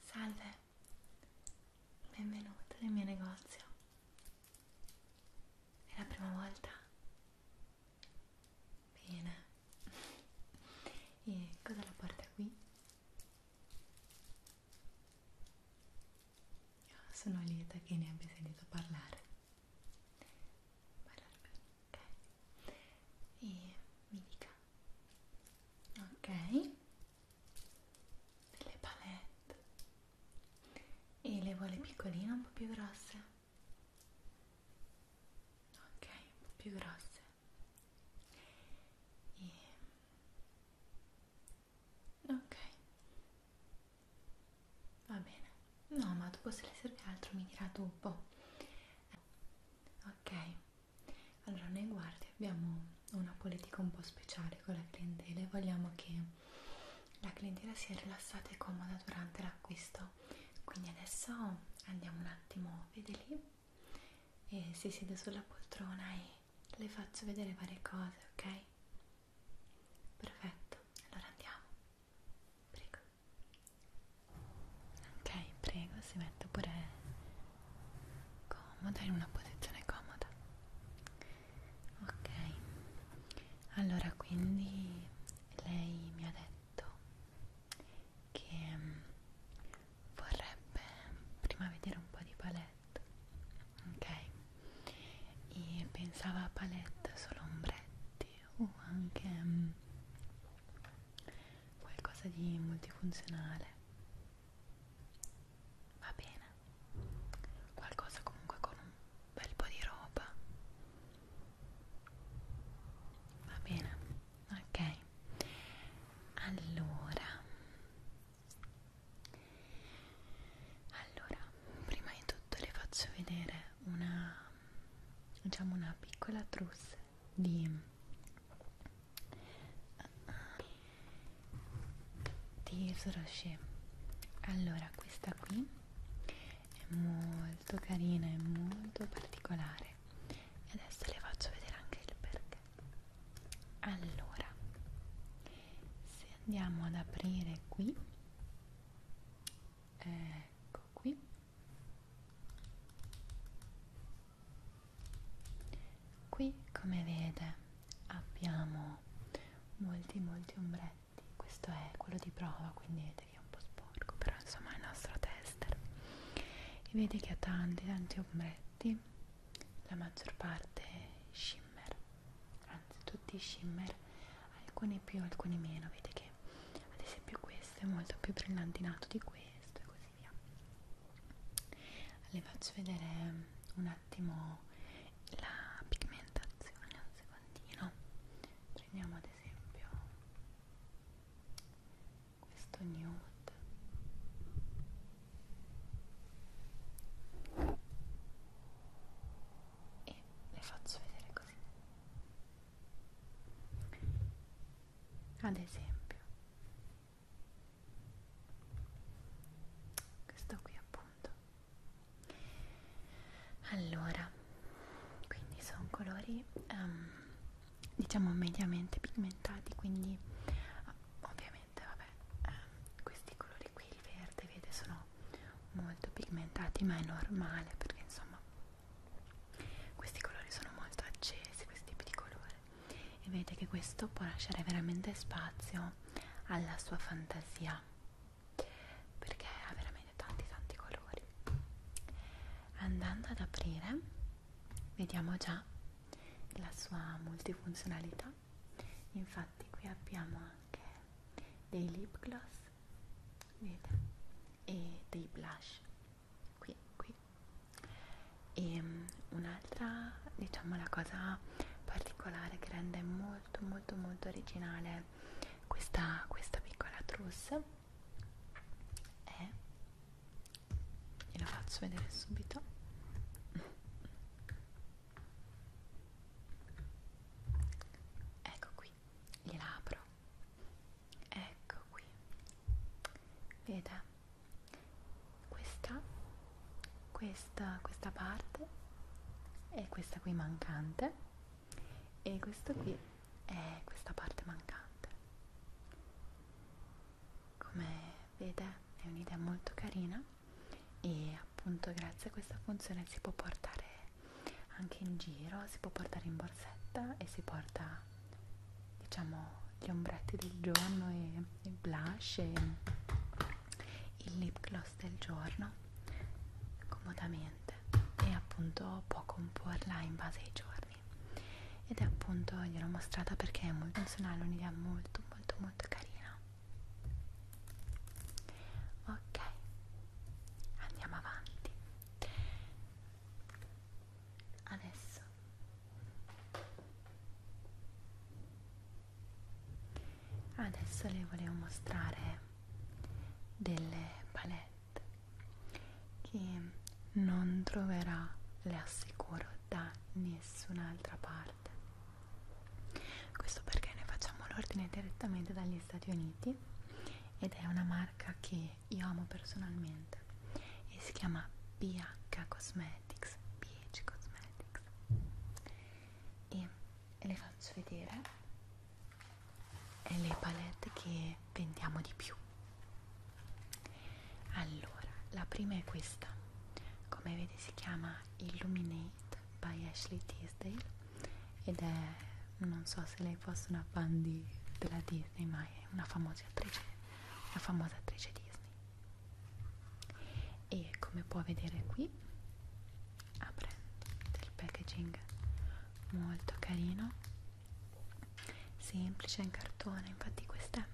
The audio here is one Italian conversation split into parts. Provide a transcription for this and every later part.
Salve, benvenuto nel mio negozio. È la prima volta? Bene. E cosa la porta qui? Sono lieta che ne abbia sentito parlare ok e mi dica ok delle palette e le vuole piccoline un po' più grosse ok un po' più grosse e ok Va bene. No, ma dopo se le serve altro mi dirà dopo. Ok. Allora, noi guardi abbiamo una politica un po' speciale con la clientela e vogliamo che la clientela sia rilassata e comoda durante l'acquisto. Quindi adesso andiamo un attimo, vede lì, e si siede sulla poltrona e le faccio vedere varie cose, ok? Perfetto, allora andiamo. Prego. Ok, prego, si mette pure comoda in una posizione comoda. Ok. Allora, quindi lei mi ha detto che mm, vorrebbe prima vedere un po' di palette. Ok. E pensava a palette solo ombretti o anche um, qualcosa di multifunzionale va bene qualcosa comunque con un bel po' di roba va bene ok allora allora, prima di tutto le faccio vedere una, diciamo una piccola trousse di, di Soroche. Allora, questa qui è molto carina, è molto particolare e adesso le faccio vedere anche il perché. Allora, se andiamo ad aprire qui ecco qui qui come vede abbiamo molti molti ombretti questo è quello di prova quindi vedete che è un po' sporco però insomma è il nostro tester e vedi che ha tanti tanti ombretti la maggior parte shimmer anzi tutti shimmer alcune più alcune meno vedi che ad esempio questo è molto più brillantinato di questo e così via le faccio vedere un attimo la pigmentazione un secondino prendiamo ad esempio questo nude e le faccio vedere così ad esempio questo qui appunto allora quindi sono colori um, diciamo mediamente pigmentati quindi ah, ovviamente vabbè um, questi colori qui il verde vede sono molto pigmentati ma è normale perché insomma questi colori sono molto accesi questi tipi di colore e vedete che questo può lasciare veramente spazio alla sua fantasia perché ha veramente tanti tanti colori andando ad aprire vediamo già la sua multifunzionalità infatti qui abbiamo anche dei lip gloss vedete e dei blush qui qui e um, un'altra diciamo la cosa particolare che rende molto molto molto originale questa, questa piccola trousse è gliela faccio vedere subito ecco qui gliela apro dentro ecco qui vede questa questa questa parte è questa qui mancante e questo qui è questa parte mancante come vede è un'idea molto carina e appunto grazie a questa funzione si può portare anche in giro, si può portare in borsetta e si porta diciamo gli ombretti del giorno e il blush e il lip gloss del giorno comodamente e appunto può comporla in base ai giorni ed è appunto gliel'ho mostrata perché è molto funzionale un'idea molto molto molto carina ok andiamo avanti adesso adesso le volevo mostrare delle palette che non troverà le assicuro da nessun'altra parte questo perché noi facciamo l'ordine direttamente dagli Stati Uniti ed è una marca che io amo personalmente e si chiama PH Cosmetics PH Cosmetics e le faccio vedere le palette che vendiamo di più allora la prima è questa come vedi si chiama Illuminate by Ashley Tisdale ed è, non so se lei fosse una fan di, della Disney, ma è una famosa attrice, una famosa attrice Disney. E come può vedere qui, apre del packaging molto carino, semplice in cartone, infatti queste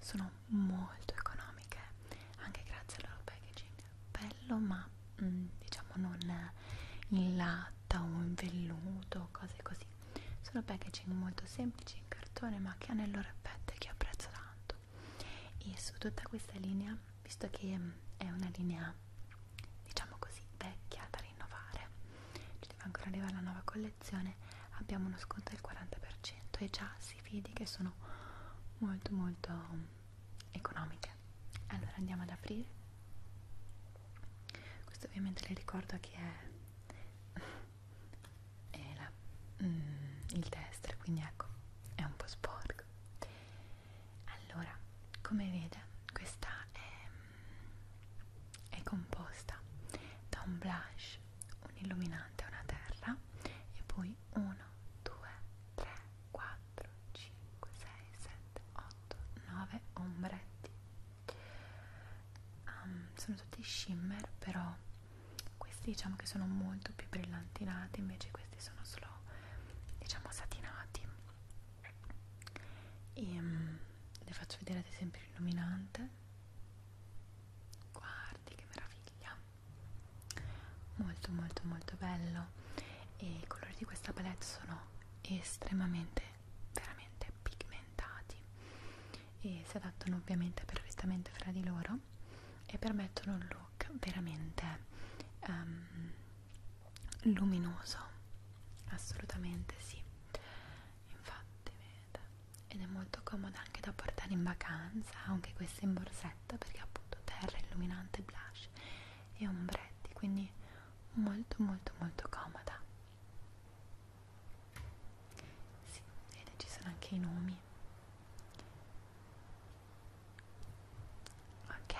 sono molto economiche, anche grazie al loro packaging, bello ma mh, mm, diciamo non in latta o in velluto cose così sono packaging molto semplici in cartone ma che hanno il loro effetto e che apprezzo tanto e su tutta questa linea visto che mm, è una linea diciamo così vecchia da rinnovare ci deve ancora arrivare la nuova collezione abbiamo uno sconto del 40% e già si vede che sono molto molto mm, economiche allora andiamo ad aprire questo ovviamente le ricordo che è, è la, mm, il destro quindi ecco è un po' sporco allora come vede questa è, è composta da un blush un illuminante una terra e poi 1 2 3 4 4, 5, 6, 7, 8, 9 ombretti um, sono tutti shimmer però questi diciamo che sono molto più brillantinati invece questi sono solo diciamo satinati e um, le faccio vedere ad esempio l'illuminante guardi che meraviglia molto molto molto bello e i colori di questa palette sono estremamente veramente pigmentati e si adattano ovviamente perfettamente fra di loro e permettono un look veramente um, luminoso assolutamente sì infatti vedete ed è molto comoda anche da portare in vacanza anche questa in borsetta perché appunto terra illuminante blush e ombretti quindi molto molto molto comoda sì, ed ci sono anche i nomi ok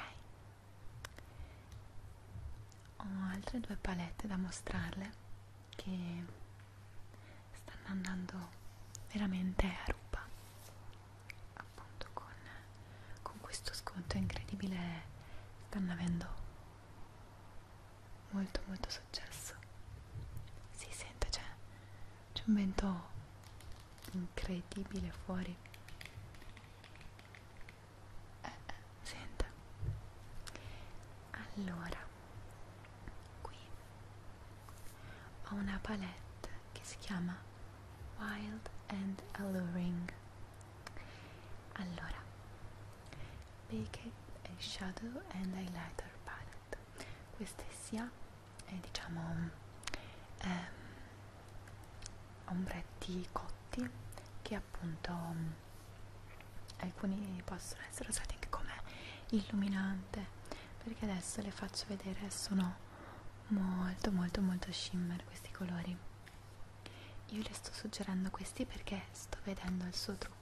ho altre due palette da mostrarle che stanno andando veramente a ruba appunto con con questo sconto incredibile stanno avendo molto molto successo si sente c'è cioè, c'è un vento incredibile fuori eh, eh, senta allora qui ho una palette che si chiama Wild and Alluring allora Baked Shadow and Highlighter Palette questa sia è eh, diciamo eh, ombretti cotti che appunto mm, alcuni possono essere usati anche come illuminante perché adesso le faccio vedere sono molto molto molto shimmer questi colori io le sto suggerendo questi perché sto vedendo il suo trucco.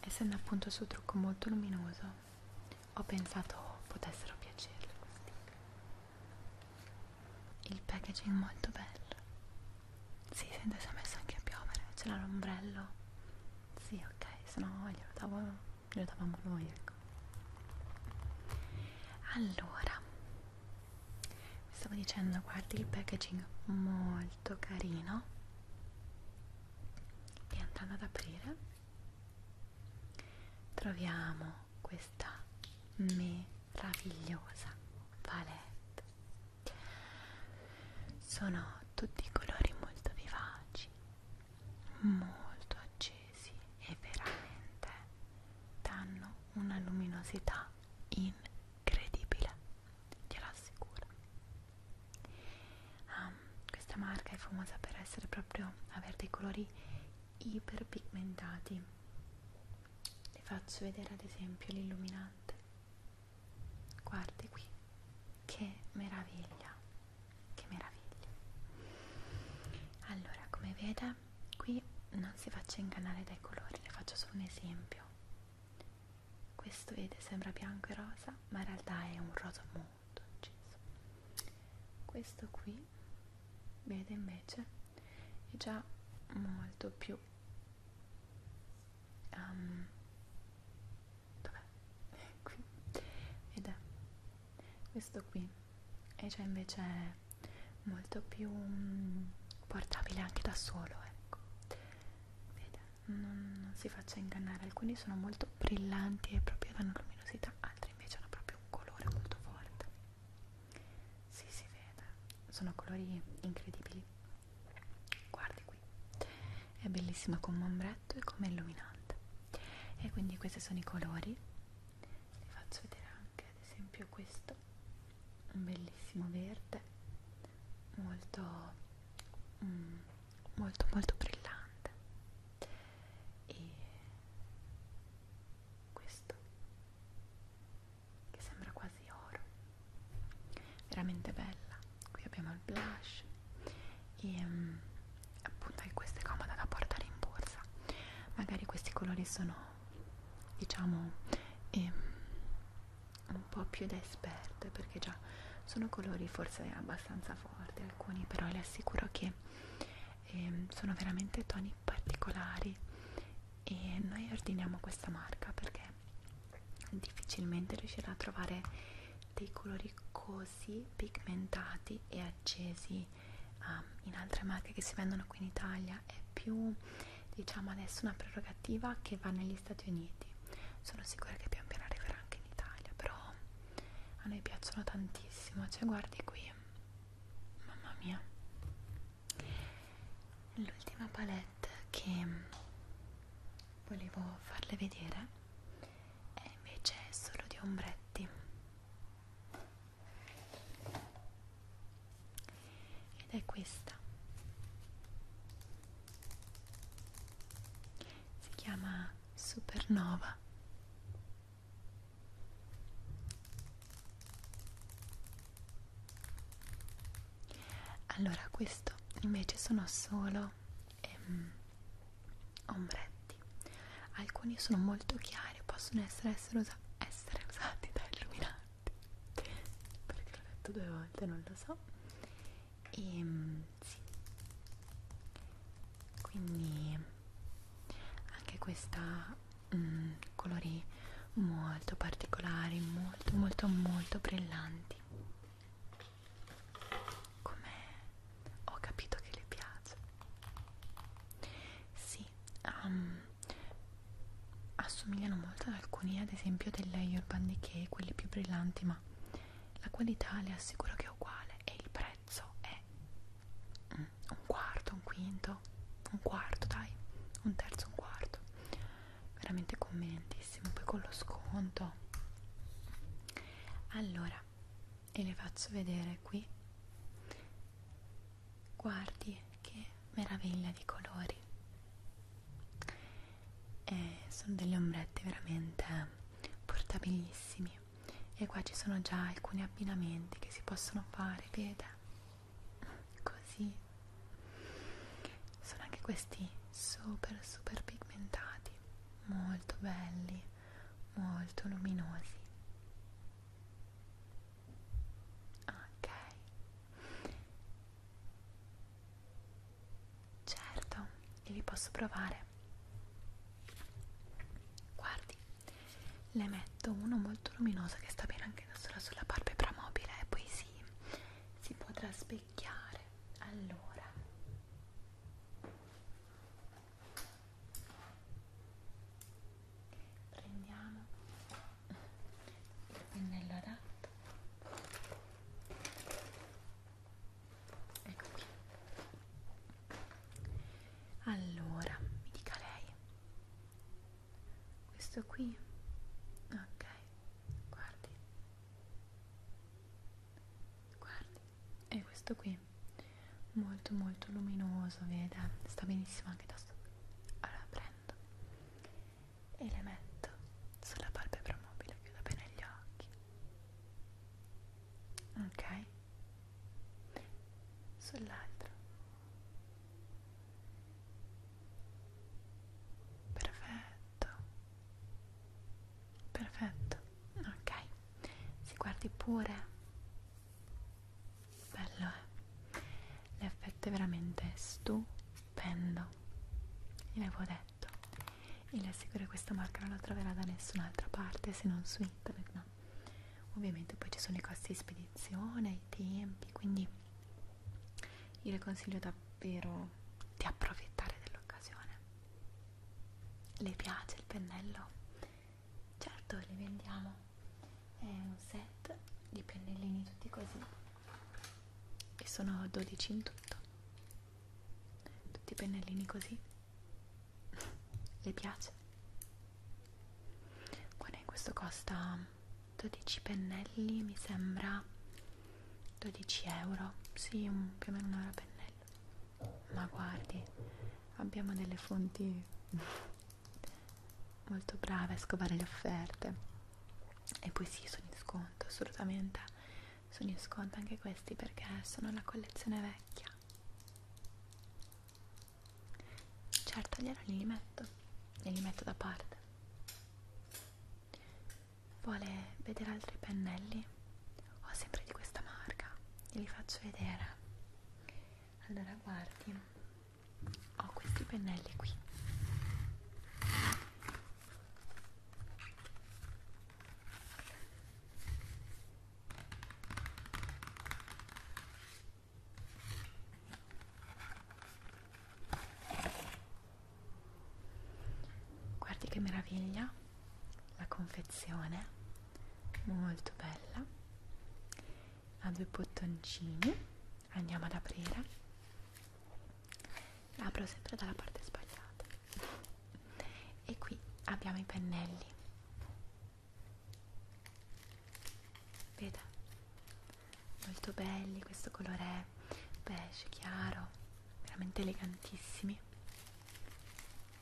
Essendo appunto il suo trucco molto luminoso, ho pensato potessero piacerle questi. Il packaging molto bello. Si sì, sente si è messo anche a piovere, c'era l'ombrello. Sì, ok, se no glielo davamo, glielo davamo noi, ecco allora mi stavo dicendo guardi il packaging molto carino e andando ad aprire troviamo questa meravigliosa palette sono tutti colori molto vivaci molto accesi accesi e veramente danno una luminosità incredibile, glielo assicuro. Um, questa marca è famosa per essere proprio aver dei colori iperpigmentati. Le faccio vedere ad esempio l'illuminante. Guardi qui, che meraviglia, che meraviglia. Allora, come vede me qui non si faccia ingannare dai colori, le faccio solo un esempio. Questo vede sembra bianco e rosa, ma in realtà è un rosa molto acceso. Questo qui vede invece è già molto più um, dov'è? qui vede questo qui e cioè invece è molto più mm, portabile anche da solo ecco Vede, non, non si faccia ingannare alcuni sono molto brillanti e proprio danno luminosità altri invece hanno proprio un colore molto forte si si vede sono colori incredibili guardi qui è bellissima come ombretto e come illuminante e quindi questi sono i colori li faccio vedere anche ad esempio questo un bellissimo verde molto mm, molto molto brillante e questo che sembra quasi oro veramente bella qui abbiamo il blush e mm, appunto che questa è comoda da portare in borsa magari questi colori sono diciamo eh, un po' più da esperte perché già sono colori forse abbastanza forti alcuni però le assicuro che eh, sono veramente toni particolari e noi ordiniamo questa marca perché difficilmente riuscirà a trovare dei colori così pigmentati e accesi um, in altre marche che si vendono qui in Italia è più diciamo adesso una prerogativa che va negli Stati Uniti sono sicura che pian piano arriverà anche in Italia però a noi piacciono tantissimo cioè guardi qui mamma mia l'ultima palette che volevo farle vedere è invece solo di ombretti ed è questa si chiama supernova allora questo invece sono solo ehm, ombretti alcuni sono molto chiari possono essere potessero us essere usati da illuminanti perché l'ho detto due volte non lo so e ehm, sì quindi anche questa mh, mm, colori molto particolari molto molto molto brillanti come ho capito che le piace sì sì, um, assomigliano molto ad alcuni, ad esempio delle Urban Decay, quelli più brillanti, ma la qualità le assicuro che è uguale e il prezzo è un quarto, un quinto, un quarto dai, un terzo, un quarto veramente convenientissimo, poi con lo sconto allora, e le faccio vedere qui guardi che meraviglia di colori e eh, sono delle ombrette veramente portabilissimi e qua ci sono già alcuni abbinamenti che si possono fare vede così sono anche questi super super pigmentati molto belli molto luminosi ok certo li posso provare guardi le metto uno molto luminoso che sta bene anche da sola sulla palpebra mobile e eh, poi si, si potrà specchiare allora prendiamo il pennello adatto ecco qui allora mi dica lei questo qui ok guardi guardi e questo qui molto molto luminoso vede sta benissimo anche da sopra allora prendo e le metto sulla palpebra mobile chiudo bene gli occhi ok sull'altro perfetto perfetto ok si guardi pure bello eh l'effetto è veramente stupendo gliel'avevo detto e le assicuro che questa marca non la troverà da nessun'altra parte se non su internet no ovviamente poi ci sono i costi di spedizione i tempi quindi io le consiglio davvero di approfittare dell'occasione le piace il pennello certo li vendiamo è un set di pennellini tutti così e sono 12 in tutto tutti i pennellini così le piace guarda questo costa 12 pennelli mi sembra 12 euro sì un, più o meno un euro a pennello ma guardi abbiamo delle fonti molto brave a scovare le offerte e poi sì sono in sconto assolutamente sono in sconto anche questi perché sono la collezione vecchia certo allora li metto e li metto da parte vuole vedere altri pennelli ho sempre di questa marca glieli faccio vedere allora guardi ho questi pennelli qui guardi che meraviglia la confezione molto bella ha due bottoncini andiamo ad aprire apro sempre dalla parte sbagliata e qui abbiamo i pennelli vede molto belli questo colore beige chiaro veramente elegantissimi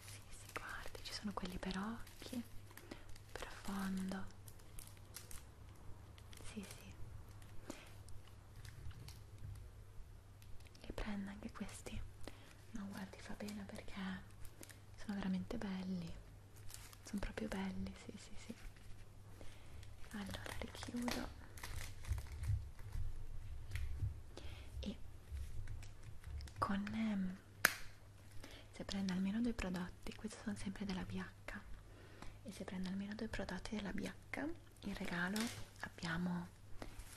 sì, sì, guardi ci sono quelli per occhi profondo sì sì e prendo anche questi ma no, guardi fa bene perché sono veramente belli sono proprio belli sì sì sì allora richiudo e con ehm, se prende almeno due prodotti questi sono sempre della BH e se prende almeno due prodotti della BH in regalo abbiamo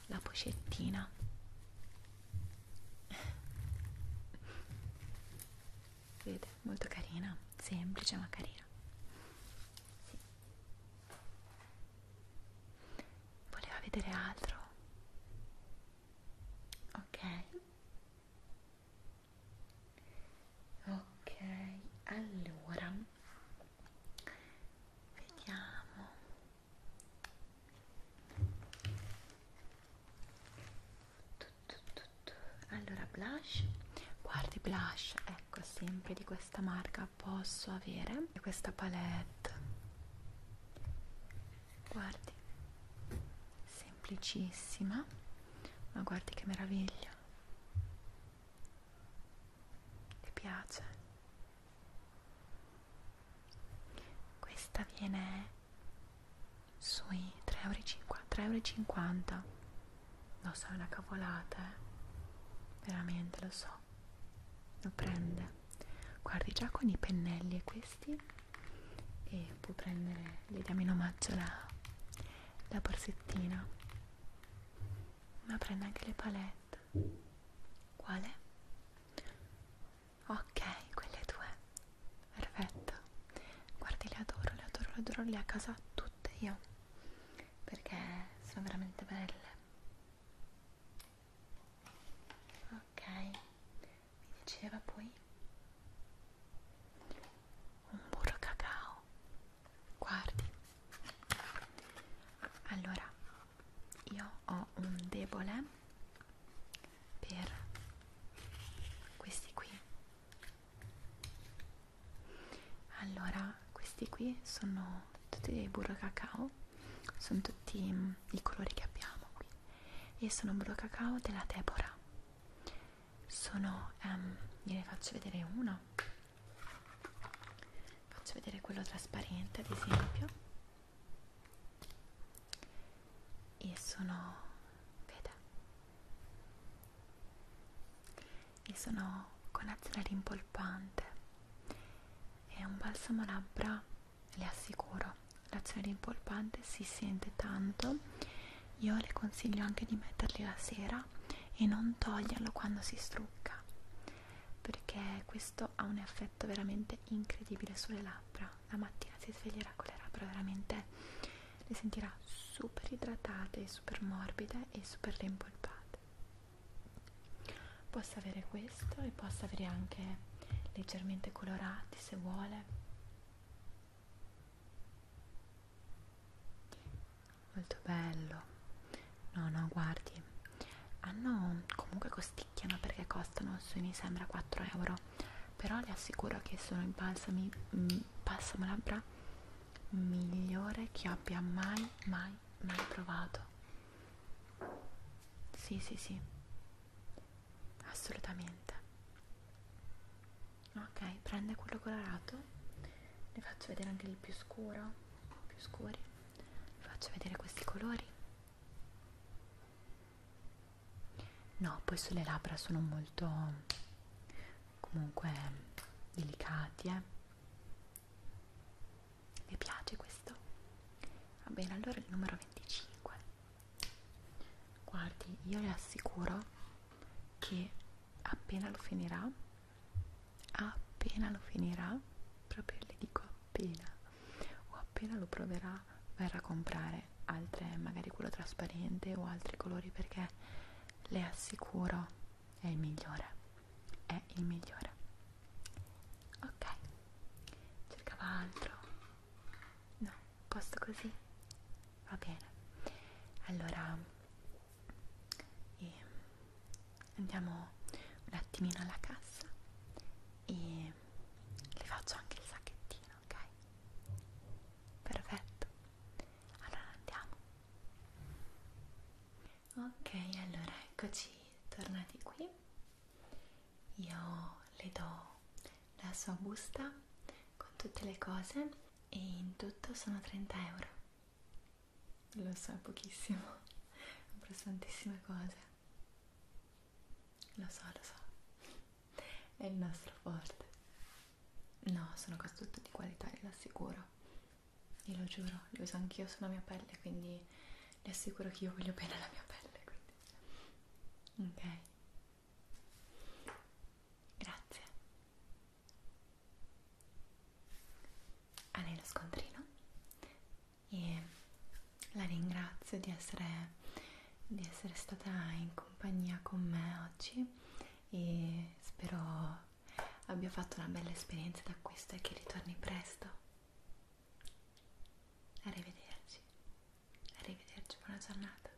la pochettina vede molto carina semplice ma carina sì. voleva vedere altro ok ok allora vediamo allora blush guardi blush ecco sempre di questa marca posso avere questa palette guardi semplicissima ma guardi che meraviglia ti piace questa viene sui 3,50 euro lo so è una cavolata eh? veramente lo so lo prende guardi già con i pennelli e questi e può prendere gli diamo in omaggio la, la borsettina ma prende anche le palette quale? ok quelle due perfetto guardi le adoro le adoro le adoro le a casa tutte io perché sono veramente belle ok mi diceva poi un burro cacao guardi allora io ho un debole per questi qui allora questi qui sono tutti dei burro cacao sono tutti mm, i colori che abbiamo qui e sono burro cacao della Deborah sono um, gliene faccio vedere uno faccio vedere quello trasparente ad esempio e sono vede e sono con azione rimpolpante è un balsamo labbra le assicuro l'azione rimpolpante si sente tanto io le consiglio anche di metterli la sera e non toglierlo quando si strucca perché questo ha un effetto veramente incredibile sulle labbra la mattina si sveglierà con le labbra veramente le sentirà super idratate super morbide e super rimpolpate possa avere questo e possa avere anche leggermente colorati se vuole molto bello no no guardi hanno comunque costicchiano perché costano su mi sembra 4 euro però le assicuro che sono il balsami balsamo mm, labbra migliore che abbia mai mai mai provato sì sì sì assolutamente ok prende quello colorato ne faccio vedere anche il più scuro più scuri vi faccio vedere questi colori no poi sulle labbra sono molto comunque delicati eh vi piace questo va bene allora il numero 25 guardi io le assicuro che appena lo finirà appena lo finirà proprio le dico appena o appena lo proverà verrà a comprare altre magari quello trasparente o altri colori perché le assicuro è il migliore è il migliore ok cercava altro no posto così va bene allora ehm, andiamo un attimino alla cassa e le faccio anche il sacchettino ok perfetto allora andiamo ok allora eccoci tornati qui io le do la sua busta con tutte le cose e in tutto sono 30 euro lo so è pochissimo compro tantissime cose lo so lo so è il nostro forte no sono cose tutte di qualità ve lo assicuro e lo giuro le uso anch'io sulla mia pelle quindi le assicuro che io voglio bene la mia pelle quindi ok Grazie. A lei lo scontrino e la ringrazio di essere, di essere stata in compagnia con me oggi e spero abbia fatto una bella esperienza d'acquisto e che ritorni presto. Arrivederci, arrivederci, buona giornata.